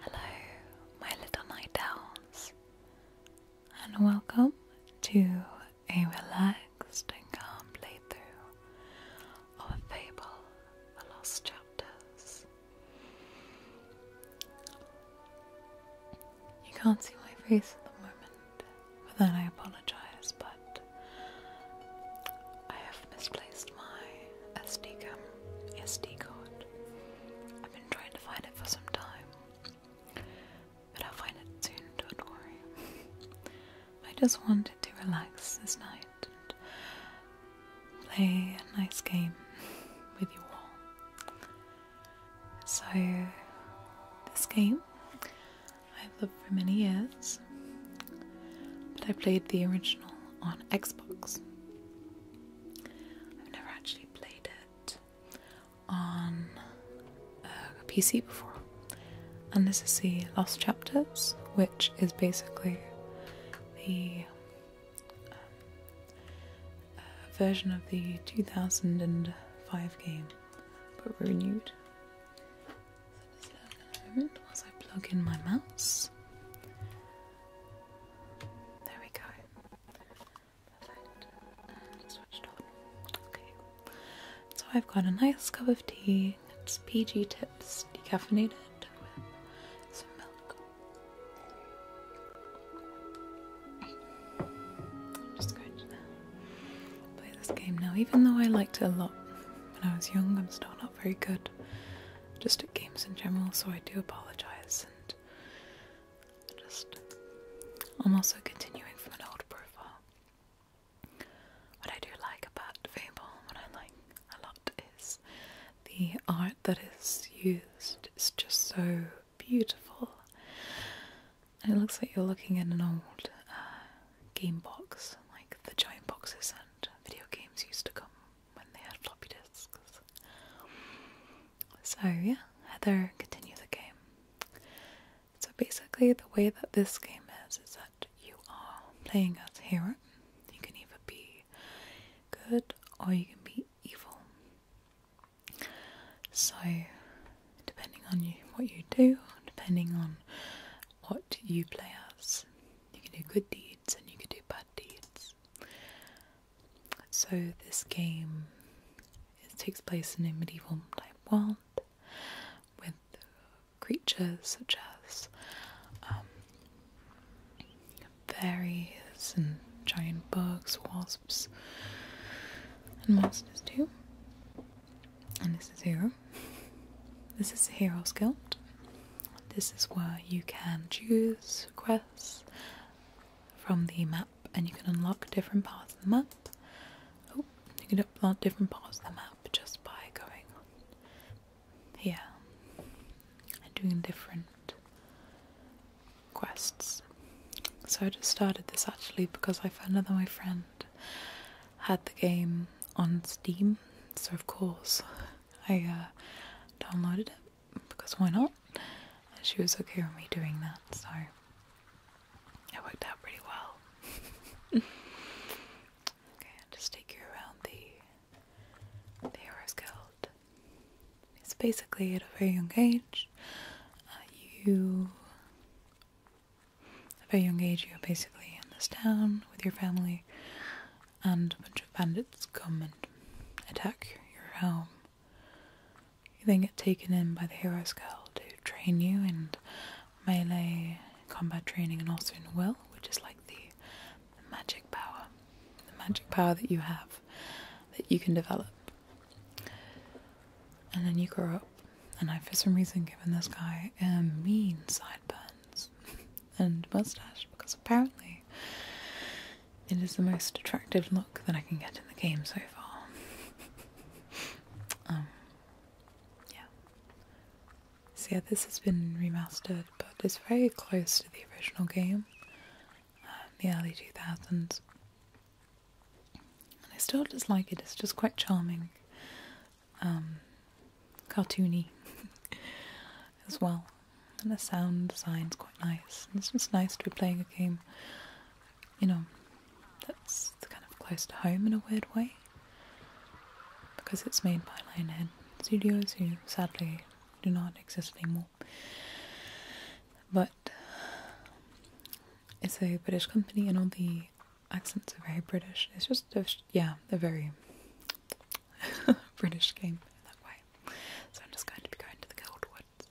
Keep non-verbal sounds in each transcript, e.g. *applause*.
Hello, my little night owls, and welcome to a relaxed and calm playthrough of fable, The Lost Chapters. You can't see my face at the moment, for that I apologise, but I have misplaced my SD card. I've been trying to find it for some time, but I'll find it soon, don't worry. *laughs* I just wanted to relax this night and play a nice game with you all. So, this game, I have the for many years, but I played the original on Xbox. I've never actually played it on uh, a PC before. And this is the Lost Chapters, which is basically the um, uh, version of the 2005 game, but renewed whilst I plug in my mouse. There we go. switched on. Okay. So I've got a nice cup of tea. It's PG Tips decaffeinated with some milk. I'm just going to play this game now. Even though I liked it a lot when I was young, I'm still starting very good just at games in general, so I do apologize and just I'm also continuing from an old profile. What I do like about Fable, what I like a lot is the art that is used It's just so beautiful. it looks like you're looking at an old uh, game box, like the giant boxes and video games used to come when they had floppy disks. So, yeah, Heather, continue the game. So, basically, the way that this game is is that you are playing as hero. You can either be good or you can be evil. So, depending on you, what you do, depending on what you play as. You can do good deeds and you can do bad deeds. So this game it takes place in a medieval type world with creatures such as um, fairies and giant bugs, wasps, and monsters too. And this is zero. This is the Heroes Guild. This is where you can choose quests from the map and you can unlock different parts of the map. Oh, you can unlock different parts of the map just by going here and doing different quests. So I just started this actually because I found out that my friend had the game on Steam, so of course I uh, downloaded it because why not? she was okay with me doing that, so it worked out pretty well. *laughs* okay, I'll just take you around the, the Heroes Guild. It's basically at a very young age, uh, you. a very young age, you're basically in this town with your family, and a bunch of bandits come and attack your home. You then get taken in by the hero's Skull to train you in melee combat training and also in will, which is like the, magic power. The magic power that you have that you can develop. And then you grow up. And I, for some reason, given this guy um, mean sideburns. *laughs* and mustache because apparently it is the most attractive look that I can get in the game so far. *laughs* um, yeah. So yeah, this has been remastered, but it's very close to the original game, uh, the early 2000s. And I still just like it, it's just quite charming. Um, cartoony *laughs* as well. And the sound design's quite nice. It's this nice to be playing a game, you know, that's kind of close to home in a weird way. Because it's made by Lionhead Studios, who sadly do not exist anymore. But it's a British company, and all the accents are very British. It's just, yeah, they're very *laughs* British game that way. So I'm just going to be going to the Gold Woods.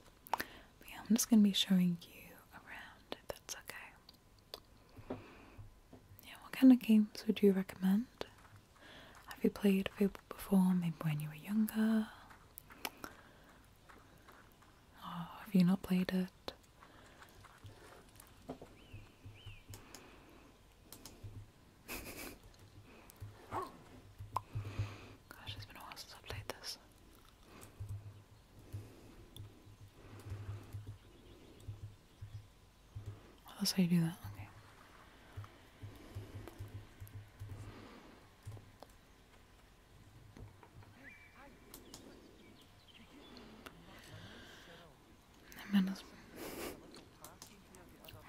yeah, I'm just going to be showing you around that's okay. Yeah, what kind of games would you recommend? Have you played Fable before, maybe when you were younger? Oh, have you not played it? Gosh, it's been a while since I played this. Well, that's how you do that.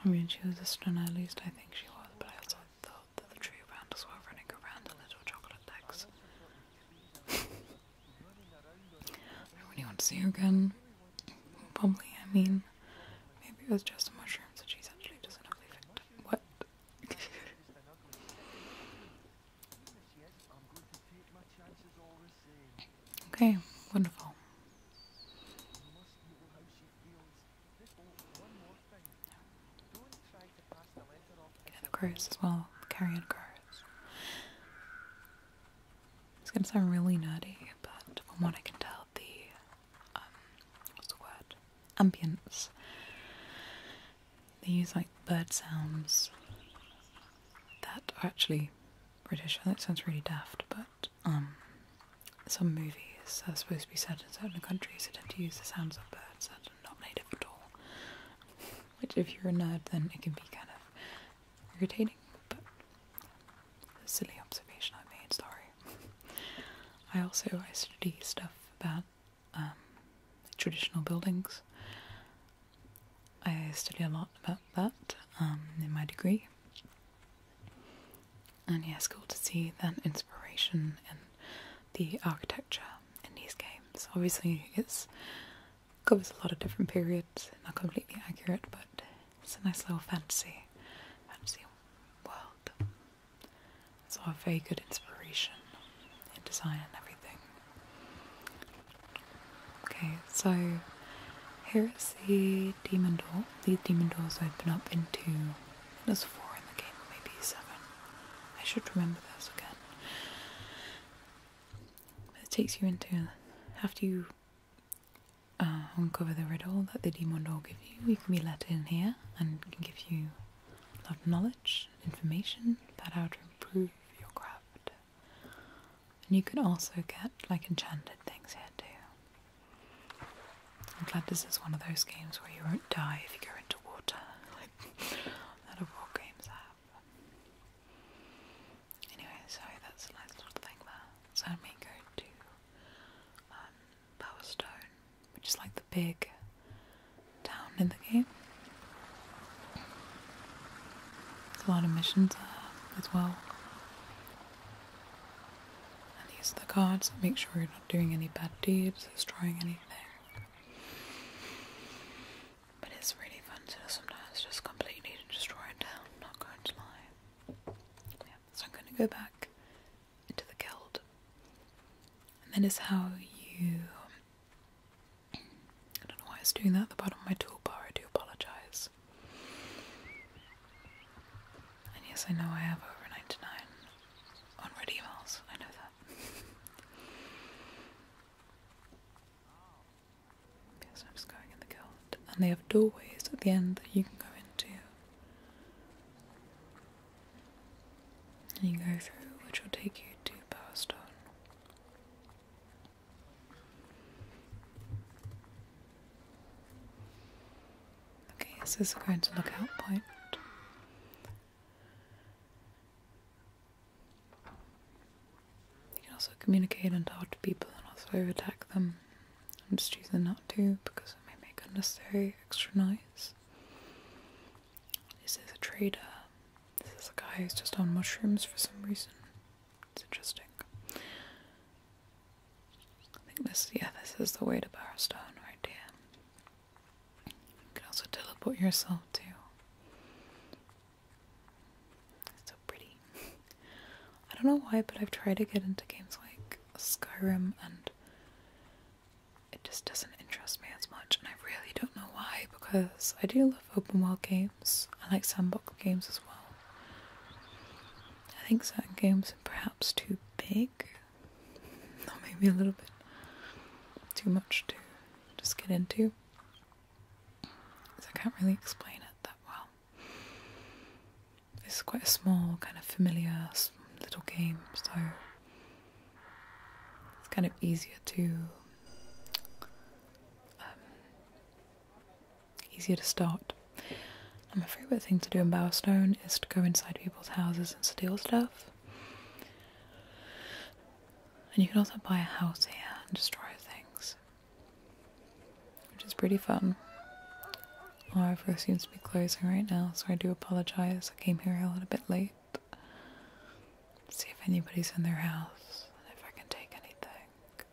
I mean, she was a stunner, at least I think she was, but I also thought that the tree rounders were running around in little chocolate legs. I really want to see her again. Probably, I mean, maybe it was just the mushrooms that she's actually just an ugly victim. What? *laughs* *laughs* Okay, wonderful. the cards as well, carrying cards. It's gonna sound really nerdy, but from what I can tell, the um, what's the word? Ambience. They use like bird sounds that are actually British. That sounds really daft, but um, some movies are supposed to be set in certain countries that tend to use the sounds of birds that are not native at all. Which, if you're a nerd, then it can be kind of irritating, but a silly observation I made, sorry. *laughs* I also I study stuff about um, traditional buildings. I study a lot about that um, in my degree. And yeah, it's cool to see that inspiration in the architecture in these games. Obviously, it covers a lot of different periods, not completely accurate, but it's a nice little fantasy, fantasy world. So, all very good inspiration in design and everything. Okay, so here is the demon door well, these demon doors open up into. There's four in the game, maybe seven. I should remember those again. It takes you into. After you uh, uncover the riddle that the demon door gives you, you can be let in here and can give you a lot of knowledge, information about how to improve your craft. And you can also get like enchanted things here too. I'm glad this is one of those games where you won't die if you go into water, like that of all games have. Anyway, so that's a nice little thing there. So I may go to um, which is like the big town in the game. There's a lot of missions there as well. And these are the cards that make sure you're not doing any bad deeds, destroying anything. But it's really fun to sometimes just completely destroy it down, not going to lie. so I'm going to go back into the guild. And that is how you. I don't know why it's doing that at the bottom of my toolbar, I do apologise. And yes, I know I have over 99 unread emails, I know that. yes, I'm just going in the guild. And they have doorways at the end that you can go into. And you go through, which will take you to Power Okay, so this is going to lookout point. You can also communicate and talk to people and also attack them. I'm just choosing not to because it may make unnecessary extra noise. This is a trader. This is a guy who's just on mushrooms for some reason. It's interesting. I think this, yeah, this is the way to Barstone right here. You can also teleport yourself too. so pretty. *laughs* I don't know why, but I've tried to get into games like Skyrim and it just doesn't interest me as much, and I really don't know why because I do love open world games. I like sandbox games as well. I think certain games, and perhaps too big, or maybe a little bit too much to just get into. I can't really explain it that well. It's quite a small, kind of familiar little game, so it's kind of easier to um, easier to start. my favourite thing to do in Bowerstone is to go inside people's houses and steal stuff. And you can also buy a house here and destroy things, which is pretty fun. Our However, seems to be closing right now, so I do apologise. I came here a little bit late. See if anybody's in their house and if I can take anything.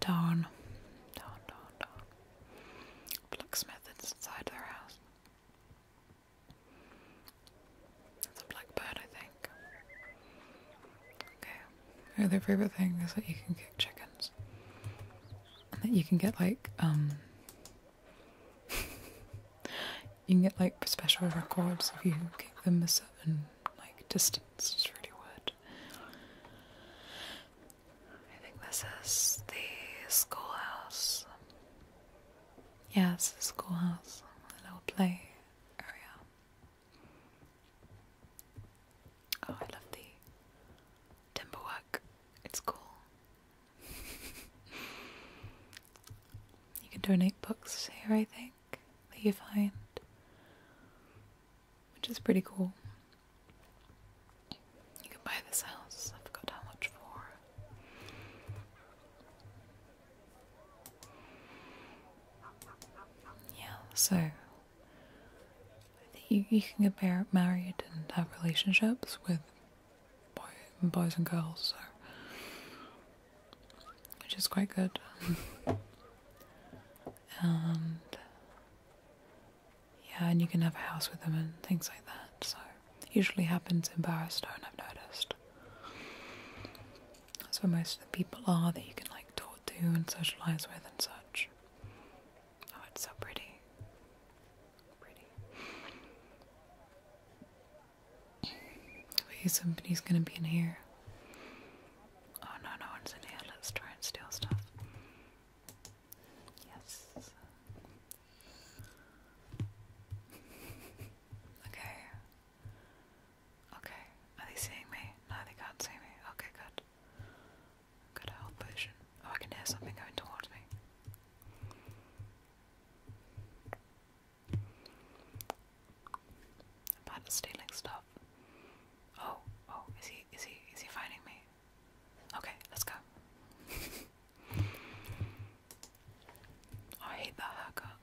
Darn. Darn, darn, darn. Blacksmith inside their house. That's a blackbird, I think. Okay. Oh, their favorite thing is that you can kick chickens. And that you can get like, um. *laughs* you can get like special records if you kick them a certain like distance. It's really weird. I think this is the schoolhouse. Yes, the schoolhouse, a little play area. Oh, I love the timber It's cool. *laughs* you can donate books here, I think, that you find which is pretty cool. You can buy this house, I forgot how much for. Yeah, so I think you, you can get married and have relationships with boys and girls, so, which is quite good. *laughs* and yeah, and you can have a house with them and things like that. So usually happens in Barrowstone, I've noticed. That's where most of the people are that you can like talk to and socialise with and such. Oh, it's so pretty. Pretty. Wait, somebody's gonna be in here. Oh no, no one's in here. Let's try and steal stuff. Yes. Okay. Okay. Are they seeing me? No, they can't see me. Okay, good. Good health potion. Oh, I can hear something going towards me. i stealing stuff. Oh, oh, is he, is he, is he finding me? Okay, let's go. *laughs* I hate that haircut.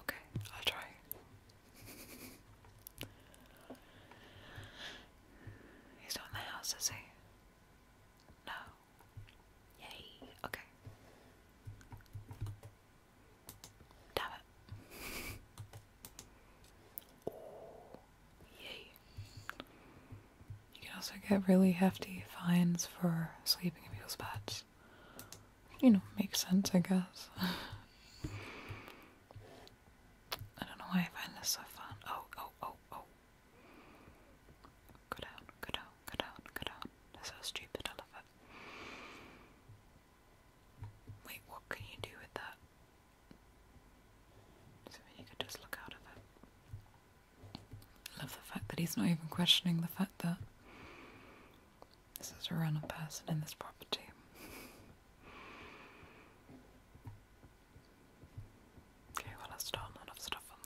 Okay, I'll try. *laughs* He's not the house, is he? No. Yay. Okay. Damn it. Ooh, yay. You can also get really hefty fines for sleeping in people's beds. You know, makes sense, I guess. *laughs* I don't know why I find this so fun. Oh, oh, oh, oh. Go down, go down, go down, go down. That's so stupid, I love it. Wait, what can you do with that? you could just look out of it. Love the fact that he's not even questioning the fact that this is a random person in this property. *laughs* okay, well, I've stolen enough stuff from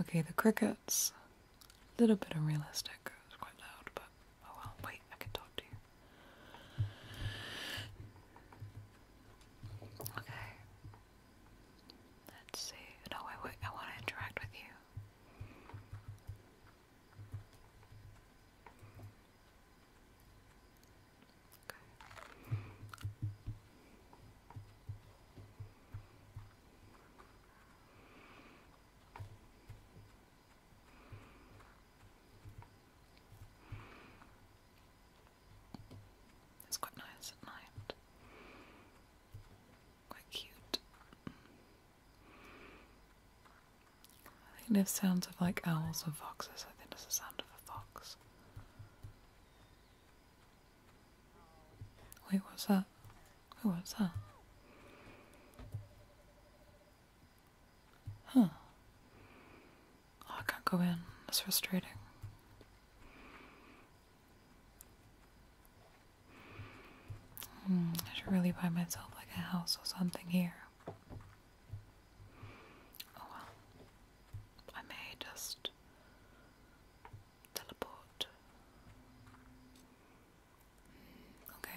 there. Okay, the crickets. A little bit unrealistic. It's quite loud, but oh well. Wait, I can talk to you. Okay. Let's see. No, I, w I want to interact with you. Okay. It's quite nice at night. Quite cute. I think there's sounds of like owls or foxes. I think there's a sound of a fox. Wait, what's that? Who oh, what's that? Huh. Oh, I can't go in. That's frustrating. Hmm, I should really buy myself like a house or something here. Oh well. I may just teleport. Okay.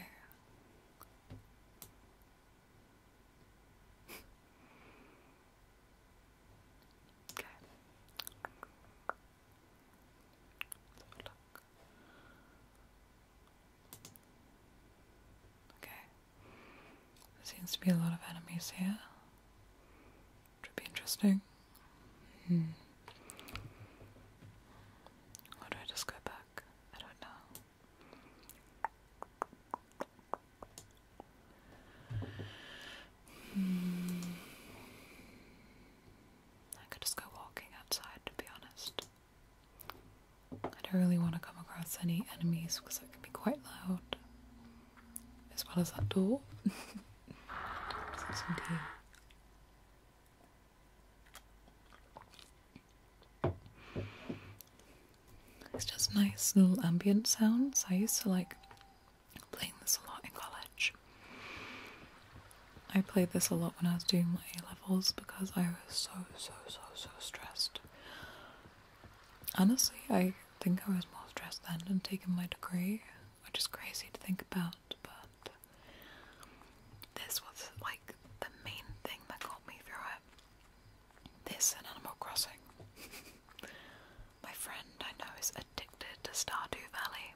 okay. Okay. There seems to be a lot of enemies here. Which would be interesting. Hmm. Or do I just go back? I don't know. Hmm. I could just go walking outside, to be honest. I don't really want to come across any enemies because it can be quite loud. As well as that door. *laughs* It's just nice little ambient sounds. I used to like playing this a lot in college. I played this a lot when I was doing my A levels because I was so, so, so, so stressed. Honestly, I think I was more stressed then than taking my degree, which is crazy to think about, but this was like the main thing that got me through it. This and Animal Crossing. *laughs* My friend I know is addicted to Stardew Valley.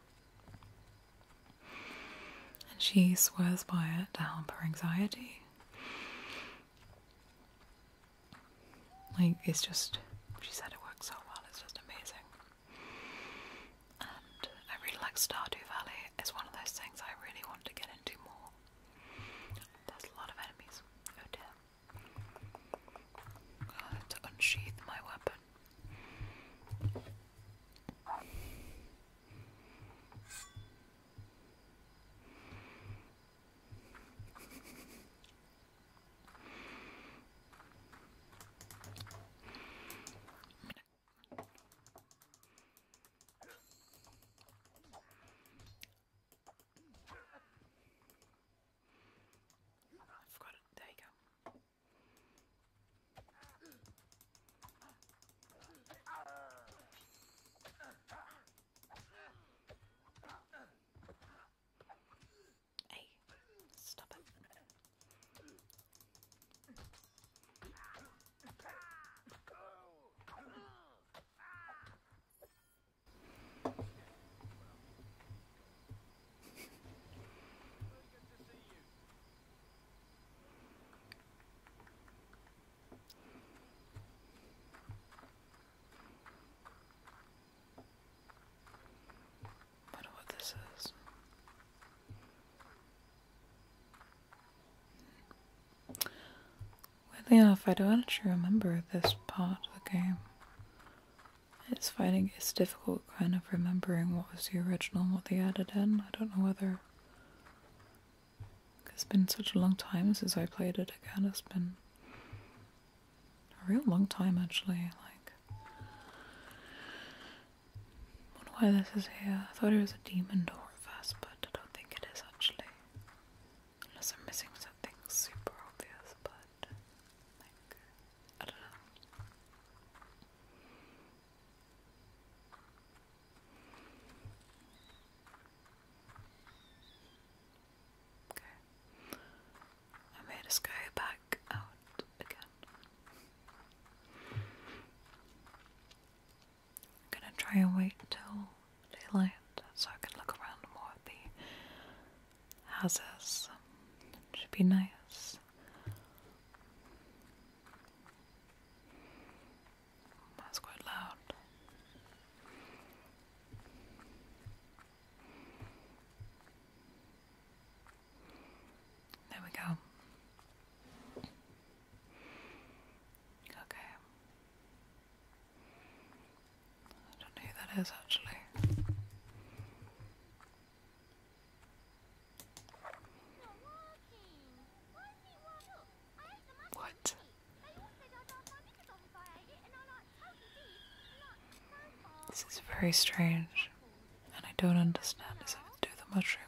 And she swears by it to help her anxiety. Like, it's just, she said it works so well, it's just amazing. I really like Stardew Valley. It's one of those things I really want to get into more. There's a lot of enemies. Oh dear. I had to unsheath my weapon. I forgot it. There you go. Hey, stop it. I don't know what this is. Weirdly enough, I don't actually remember this part of the game. It's finding it's difficult kind of remembering what was the original and what they added in. I don't know whether it's been such a long time since I played it again. It's been a real long time actually, like I wonder why this is here. I thought it was a demon door at first, but I don't think it is actually. Unless I'm missing something super obvious, but like I don't know. Okay. I made us go back out again. I'm gonna try and wait till daylight so I can look around more at the houses. should be nice. That's quite loud. There we go. Okay. I don't know who that is actually. What? This is very strange, and I don't understand. Is it do the mushrooms?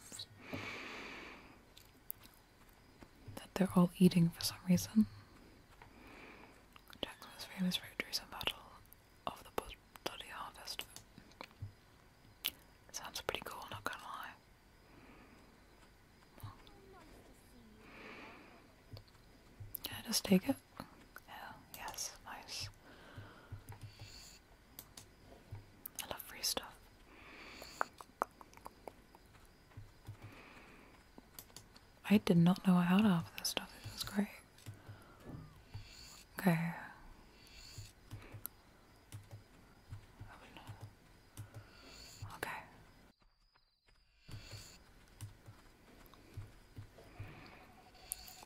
that they're all eating for some reason. Jackson's famous victories and battle of the bloody harvest. sounds pretty cool, not gonna lie. Oh. just take it? Yeah, yes, nice. I love free stuff. I did not know I had half this stuff. It was great. Okay. Okay.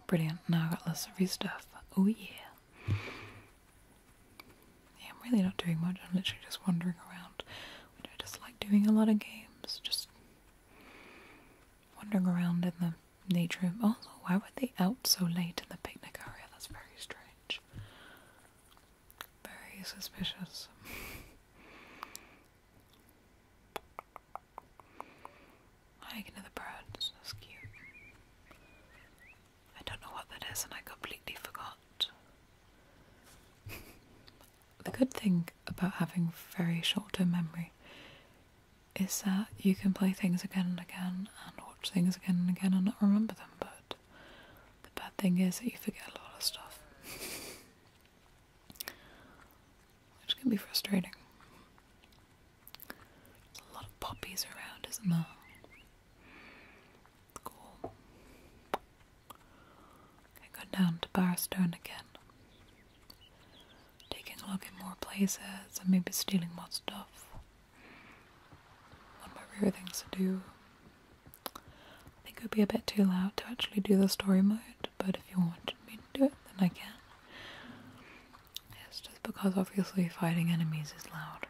Brilliant. Now I got lots of free stuff. Oh yeah. Yeah, I'm really not doing much. I'm literally just wandering around. I just like doing a lot of games. Just wandering around in the nature room. Oh, why were they out so late in the picnic area? That's very strange. Very suspicious. *laughs* Hiking to the birds. That's cute. I don't know what that is, and I completely forgot. the good thing about having very short term memory is that you can play things again and again and watch things again and again and not remember them, but the bad thing is that you forget a lot of stuff. Which can be frustrating. a lot of poppies around, isn't there? Cool. I go down to Barstone again. Taking a look at more places and maybe stealing more stuff. One of my rare things to do. I think it would be a bit too loud to actually do the story mode, but if you wanted me to do it, then I can. It's just because obviously fighting enemies is loud.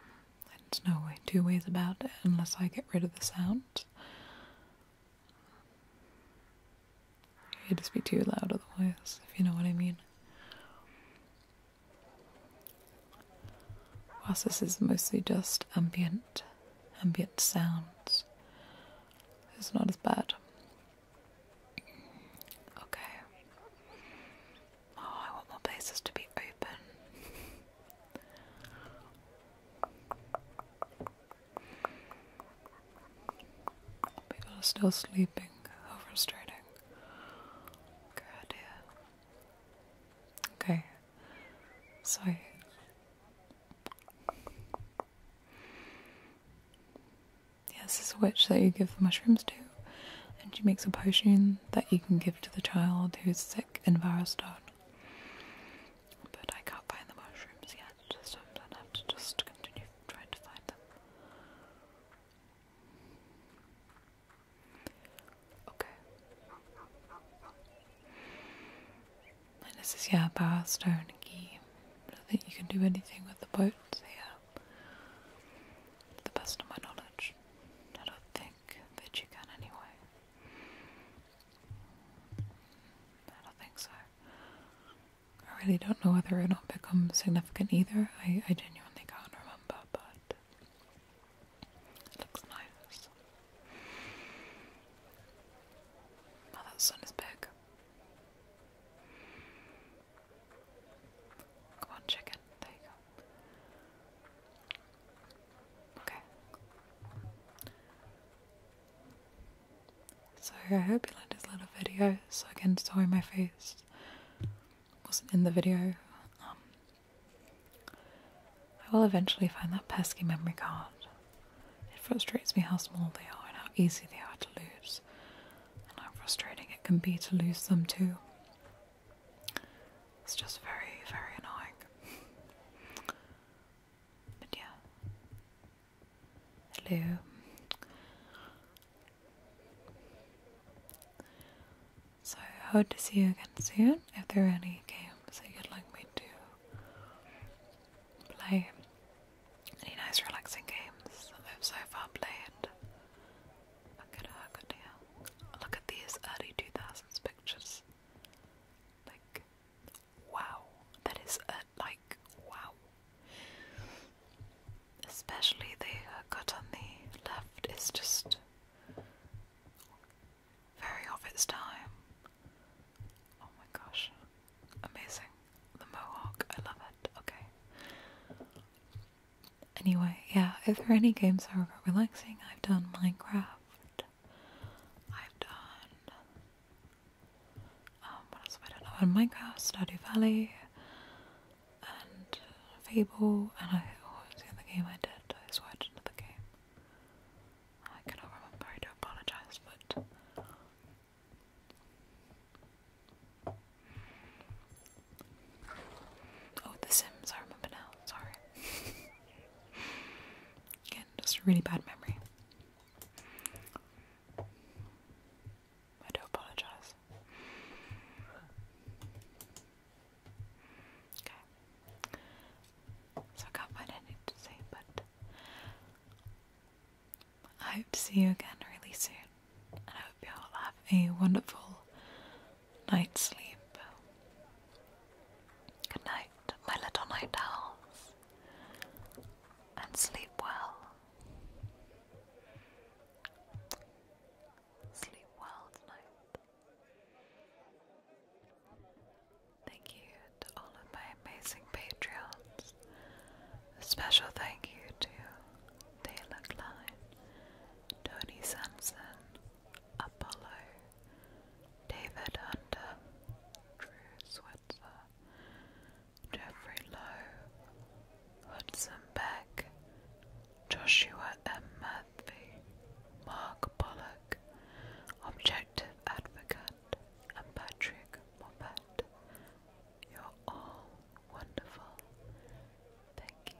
There's no way, two ways about it, unless I get rid of the sounds, It'd just be too loud otherwise, if you know what I mean. Whilst this is mostly just ambient, ambient sounds, it's not as bad. Okay. Oh, I want more places to be open. People are still sleeping. How frustrating. Good idea. Okay. So Yes, this is a witch that you give the mushrooms to and she makes a potion that you can give to the child who's sick in Varaston. But I can't find the mushrooms yet, so I'm gonna have to just continue trying to find them. Okay. And this is, yeah, Barrowstone Key. I don't think you can do anything with the boat here. To the best of my knowledge. I don't think back, you can anyway. I don't think so. I really don't know whether it'll become significant either. I, I genuinely can't remember, but it looks nice. Oh, that sun is big. Come on, chicken. There you go. Okay. So I hope you liked this little video. So again, sorry my face wasn't in the video. Um, I will eventually find that pesky memory card. It frustrates me how small they are and how easy they are to lose, and how frustrating it can be to lose them too. It's just very, very annoying. but yeah. Hello. So I hope to see you again soon. If there are any games that you'd like me to play, any nice relaxing games that I've so far played, Look at her, good Look at these early 2000s pictures. Like, wow. That is, uh, like, wow. Especially the cut on the left is just very of its time. Oh my gosh. Amazing. The mohawk, I love it. Okay. Anyway, yeah, if there are any games that are relaxing, I've done Minecraft. I've done. Um, what else have I done? I've done Minecraft, Stardew Valley, and Fable, and I. Oh, what was the other game I did? I switched another game. I cannot remember, I do apologise, but. Oh, The Sims, I remember now, sorry. Again, just a really bad memory. I do apologize. Okay. So I can't find anything to say, but I hope to see you again really soon. And I hope you all have a wonderful night's sleep. Good night, my little night owls, and sleep well. Sleep well tonight. Thank you to all of my amazing Patreons. special thank you to Taylor Klein, Tony Sampson, Apollo, David Under, Drew Switzer, Jeffrey Lowe, Hudson Beck, Joshua M. Murphy, Mark Bollock, Objective Advocate, and Patrick Moppet. You're all wonderful. Thank you.